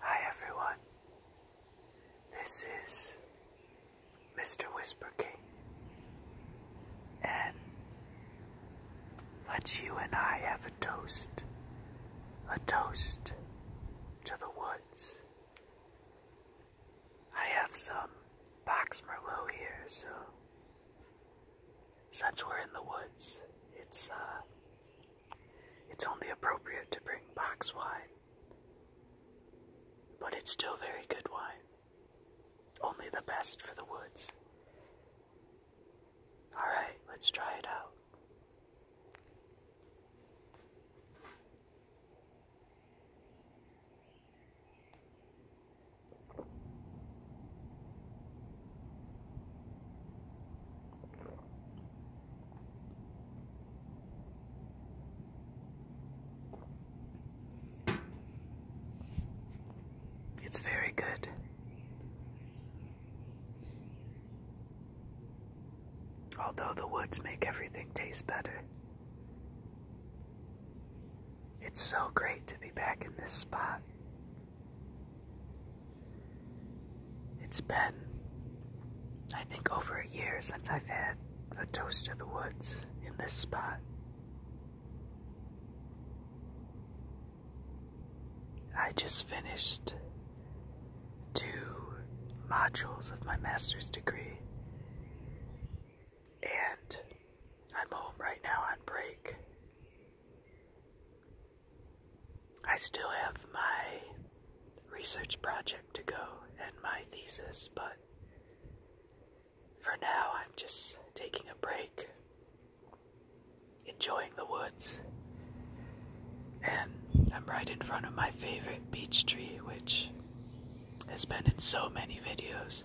Hi everyone, this is Mr. Whisper King, and let you and I have a toast, a toast to the woods. I have some box merlot here, so since we're in the woods, it's uh, it's only appropriate to bring box wine, but it's still very good wine. Only the best for the woods. Alright, let's try it out. It's very good. Although the woods make everything taste better, it's so great to be back in this spot. It's been, I think, over a year since I've had a toast of the woods in this spot. I just finished two modules of my master's degree, and I'm home right now on break. I still have my research project to go and my thesis, but for now I'm just taking a break, enjoying the woods, and I'm right in front of my favorite beech tree, which has been in so many videos.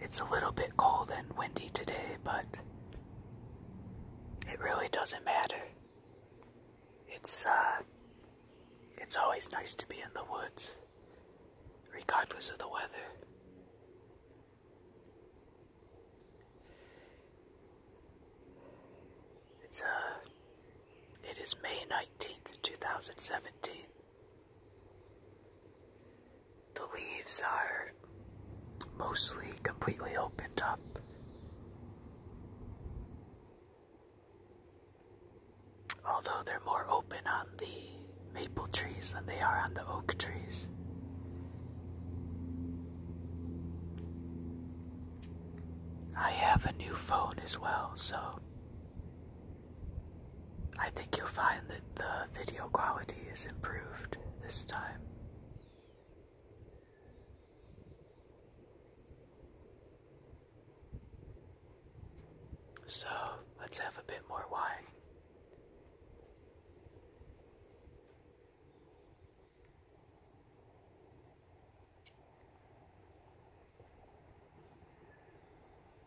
It's a little bit cold and windy today, but it really doesn't matter. It's uh it's always nice to be in the woods regardless of the weather. It's uh it is May 19th, 2017. The leaves are mostly completely opened up. Although they're more open on the maple trees than they are on the oak trees. I have a new phone as well, so I think you'll find that the video quality is improved this time. So let's have a bit more wine.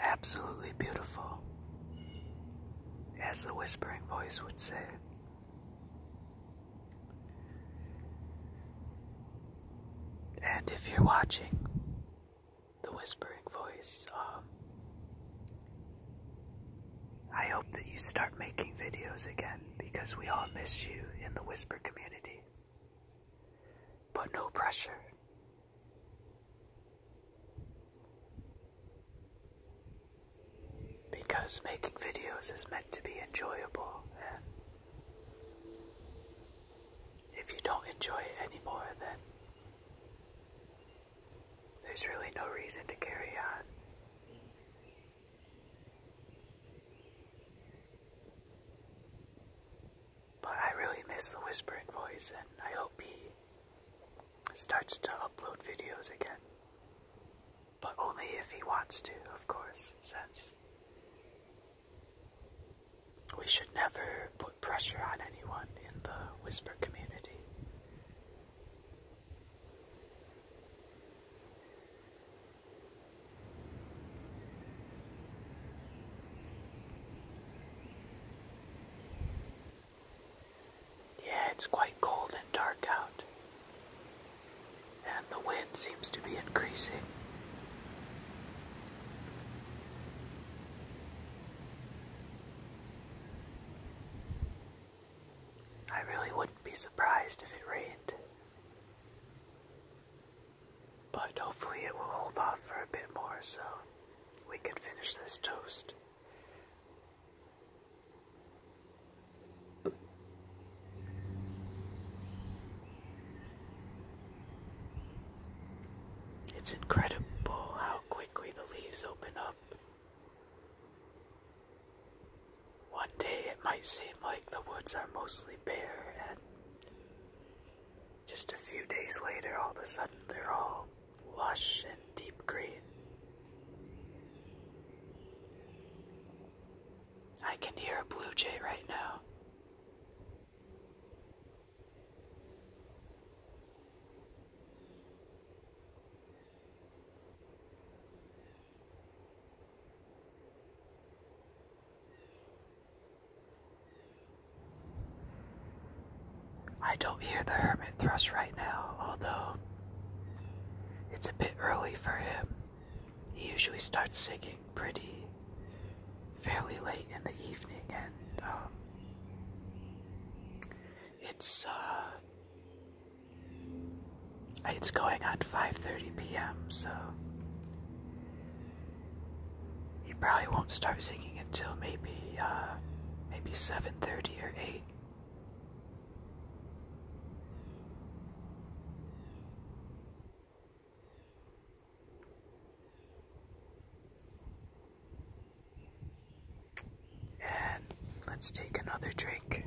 Absolutely beautiful, as the whispering voice would say. And if you're watching the whispering voice, um, I hope that you start making videos again because we all miss you in the whisper community but no pressure. Because making videos is meant to be enjoyable, and if you don't enjoy it anymore, then there's really no reason to carry on. But I really miss the whispering voice, and I hope he starts to upload videos again. But only if he wants to, of course, since we should never put pressure on anyone in the whisper community. Yeah, it's quite cold and dark out. And the wind seems to be increasing. I really wouldn't be surprised if it rained. But hopefully it will hold off for a bit more so we can finish this toast. It's incredible how quickly the leaves open up. One day it might seem like the woods are mostly bare and just a few days later, all of a sudden, they're all lush and deep green. I can hear a blue jay right now. I don't hear the hermit thrush right now, although it's a bit early for him. He usually starts singing pretty fairly late in the evening, and um, it's uh, it's going on 5:30 p.m. So he probably won't start singing until maybe, uh, maybe 7.30 or 8. And let's take another drink.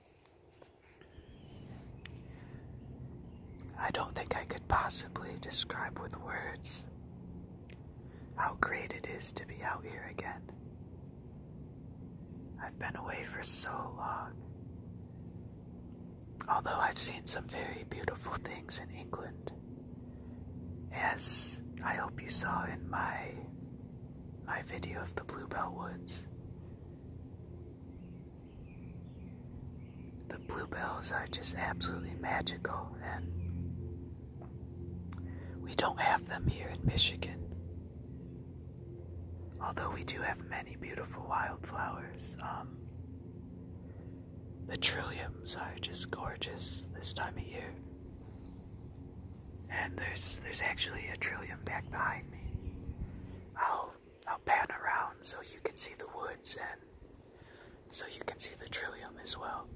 I don't think I could possibly describe with words how great it is to be out here again. I've been away for so long. Although I've seen some very beautiful things in England, as I hope you saw in my my video of the Bluebell Woods, the bluebells are just absolutely magical, and we don't have them here in Michigan. Although we do have many beautiful wildflowers, um, the trilliums are just gorgeous this time of year. And there's there's actually a trillium back behind me. I'll I'll pan around so you can see the woods and so you can see the trillium as well.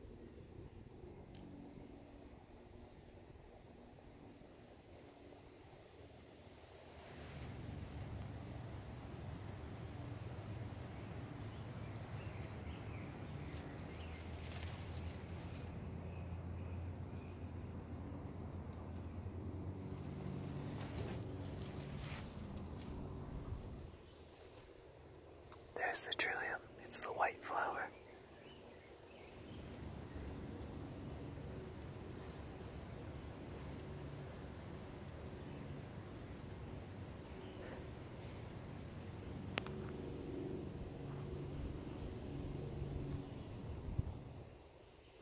There's the trillium, it's the white flower.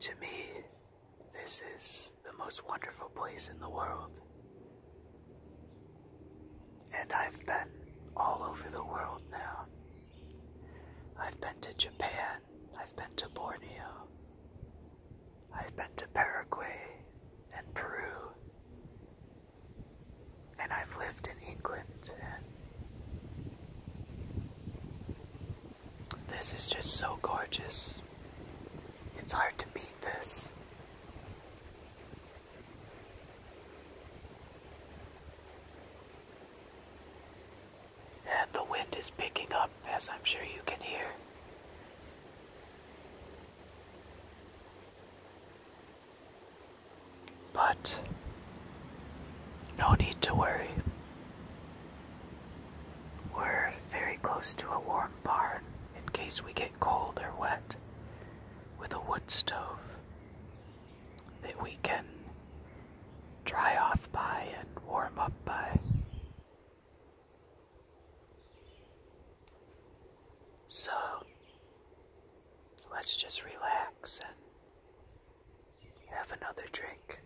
To me, this is the most wonderful place in the world. And I've been all over the world now. I've been to Japan, I've been to Borneo, I've been to Paraguay and Peru, and I've lived in England and this is just so gorgeous. It's hard to beat this. And the wind is picking up, as I'm sure you can hear. But no need to worry. We're very close to a warm barn in case we get cold or wet with a wood stove that we can dry off by and warm up by. So let's just relax and have another drink.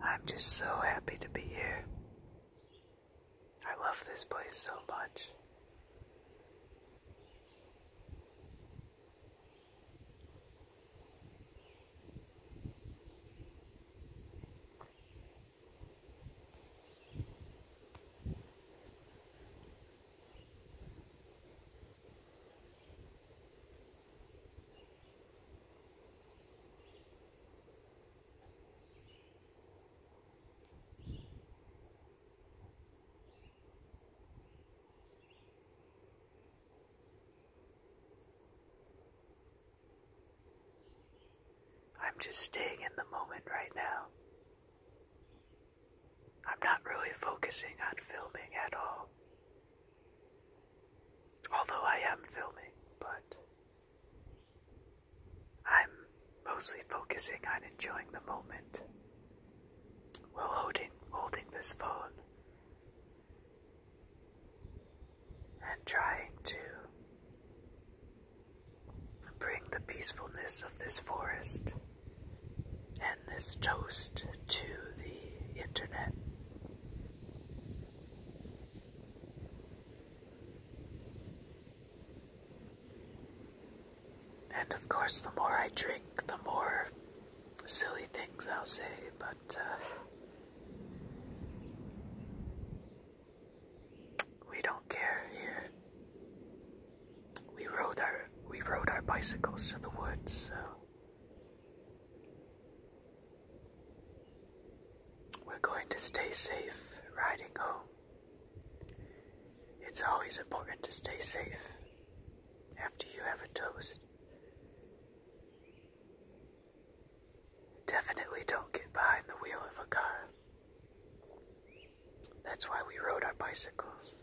I'm just so happy to be here. I love this place so much. I'm just staying in the moment right now. I'm not really focusing on filming at all. Although I am filming, but I'm mostly focusing on enjoying the moment while holding, holding this phone and trying to bring the peacefulness of this forest and this toast to the internet. And of course, the more I drink, the more silly things I'll say, but uh, we don't care here. We rode our we rode our bicycles to the woods, so we're going to stay safe riding home. It's always important to stay safe after you have a toast. Definitely don't get behind the wheel of a car. That's why we rode our bicycles.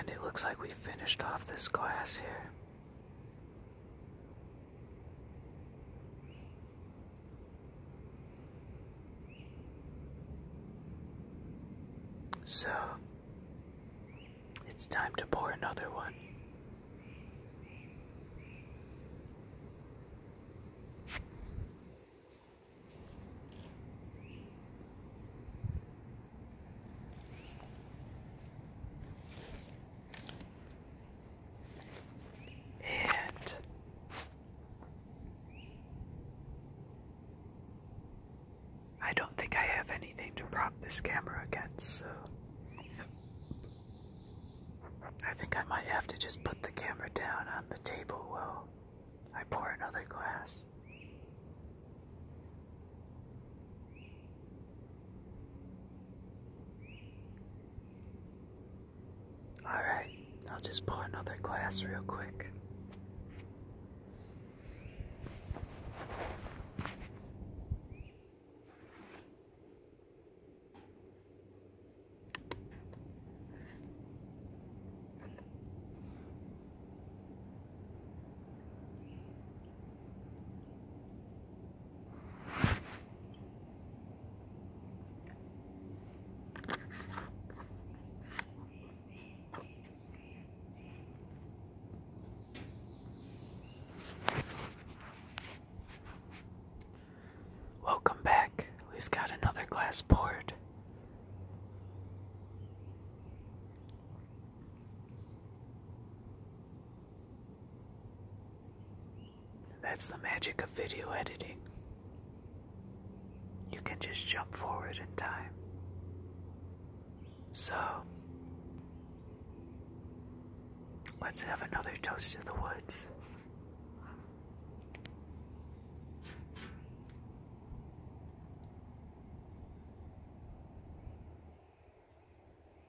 And it looks like we finished off this class here. So, it's time to pour another one and I don't think I have anything to prop this camera against, so I think I might have to just put the camera down on the table while I pour another glass. Alright, I'll just pour another glass real quick. Welcome back. We've got another glass poured. That's the magic of video editing. You can just jump forward in time. So, let's have another toast to the woods.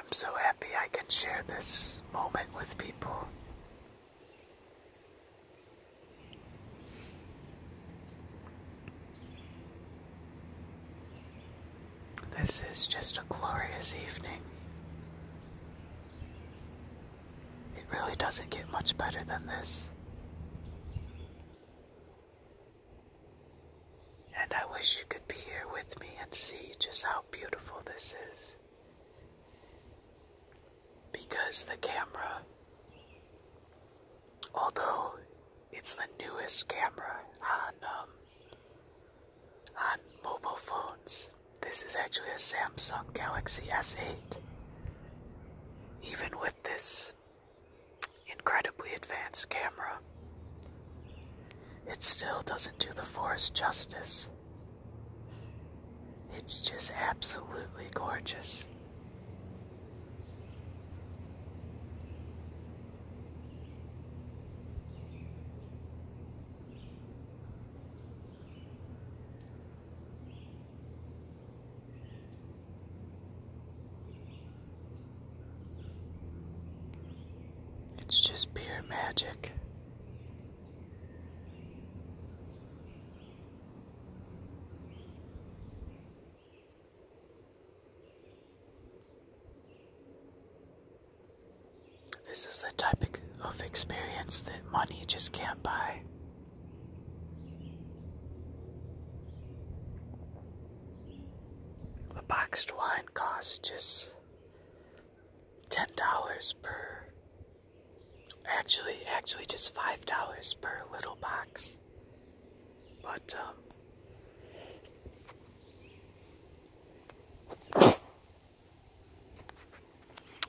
I'm so happy I can share this moment with people. This is just a glorious evening. It really doesn't get much better than this. And I wish you could be here with me and see just how beautiful this is. Because the camera although it's the newest camera on um, on mobile phones. This is actually a Samsung Galaxy S8. Even with this incredibly advanced camera, it still doesn't do the forest justice. It's just absolutely gorgeous. It's just pure magic. This is the type of experience that money just can't buy. The boxed wine costs just $10 per. Actually, actually, just $5 per little box. But, uh,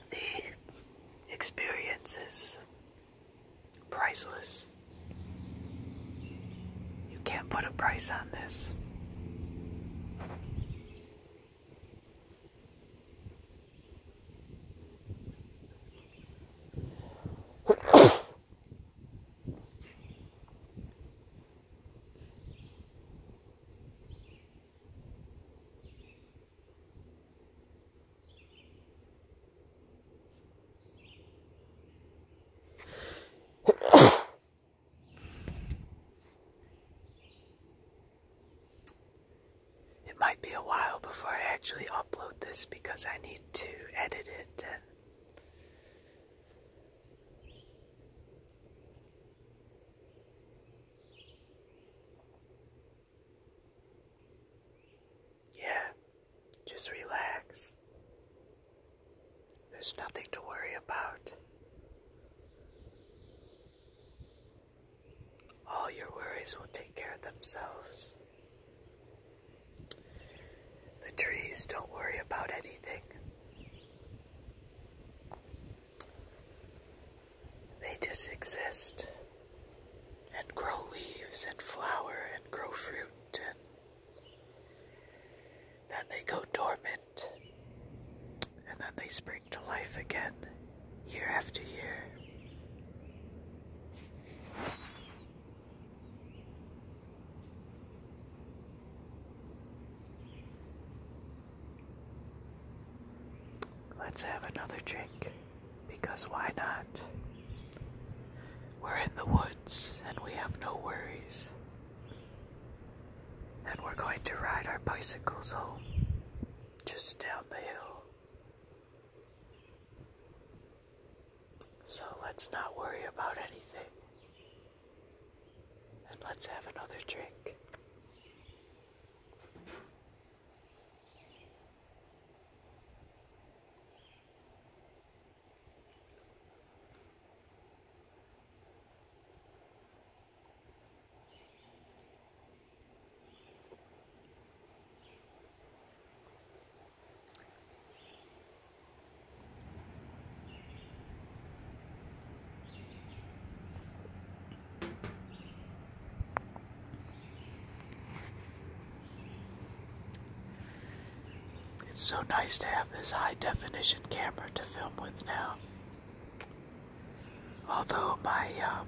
the experience is priceless. You can't put a price on this. it might be a while before I actually upload this because I need to edit it yeah, just relax. There's nothing to worry about. All your worries will take care of themselves. The trees don't worry about anything. They just exist and grow leaves and flower and grow fruit and then they go dormant and then they spring to life again year after year. Let's have another drink, because why not? We're in the woods and we have no worries. And we're going to ride our bicycles home, just down the hill. So let's not worry about anything. And let's have another drink. It's so nice to have this high definition camera to film with now. Although my um,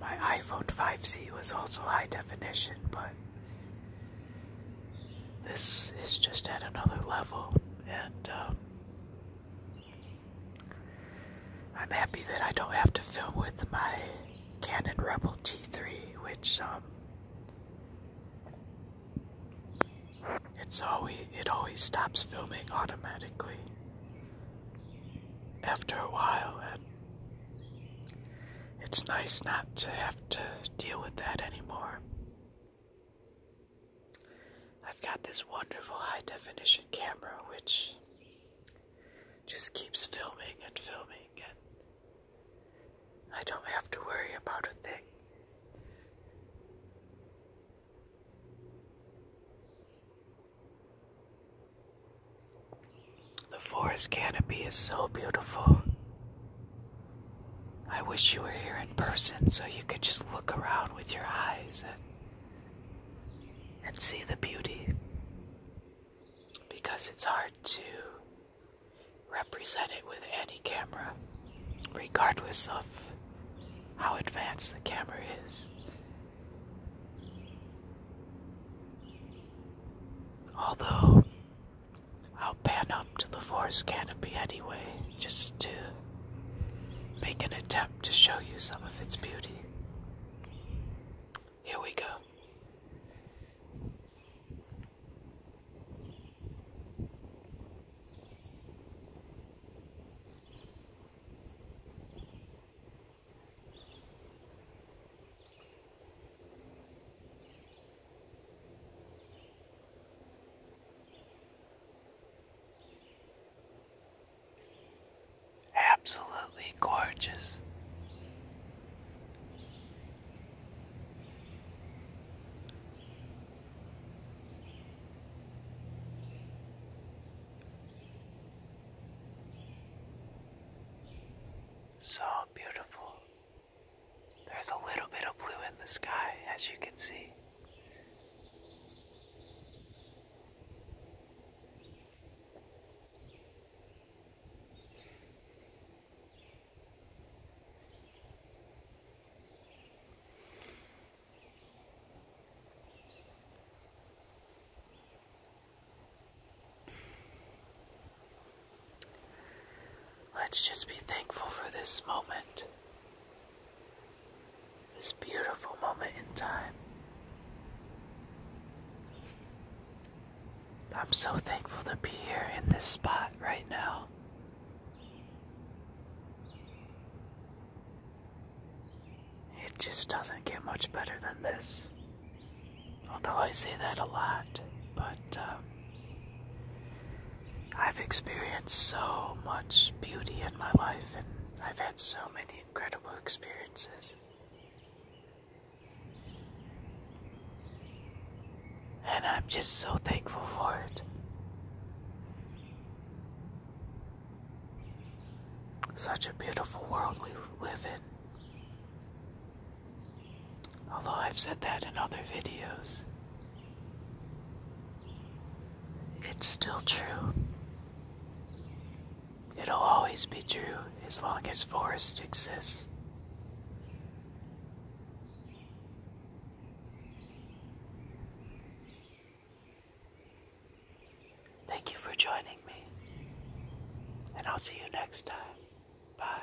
my iPhone 5C was also high definition, but this is just at another level, and um, I'm happy that I don't have to film with my Canon Rebel T3, which um, it's always it always stops filming automatically after a while, and it's nice not to have to deal with that anymore. I've got this wonderful high definition camera which just keeps filming and filming, and I don't have to worry about a thing. The forest canopy is so beautiful. I wish you were here in person so you could just look around with your eyes and and see the beauty because it's hard to represent it with any camera regardless of how advanced the camera is. Although I'll pan up to the forest canopy anyway, just to make an attempt to show you some of its beauty. Here we go. Absolutely gorgeous. So beautiful. There's a little bit of blue in the sky, as you can see. Let's just be thankful for this moment, this beautiful moment in time. I'm so thankful to be here in this spot right now. It just doesn't get much better than this. Although I say that a lot, but um, I've experienced so much beauty in my life, and I've had so many incredible experiences. And I'm just so thankful for it. Such a beautiful world we live in. Although I've said that in other videos, it's still true. It'll always be true as long as forest exists. Thank you for joining me, and I'll see you next time. Bye.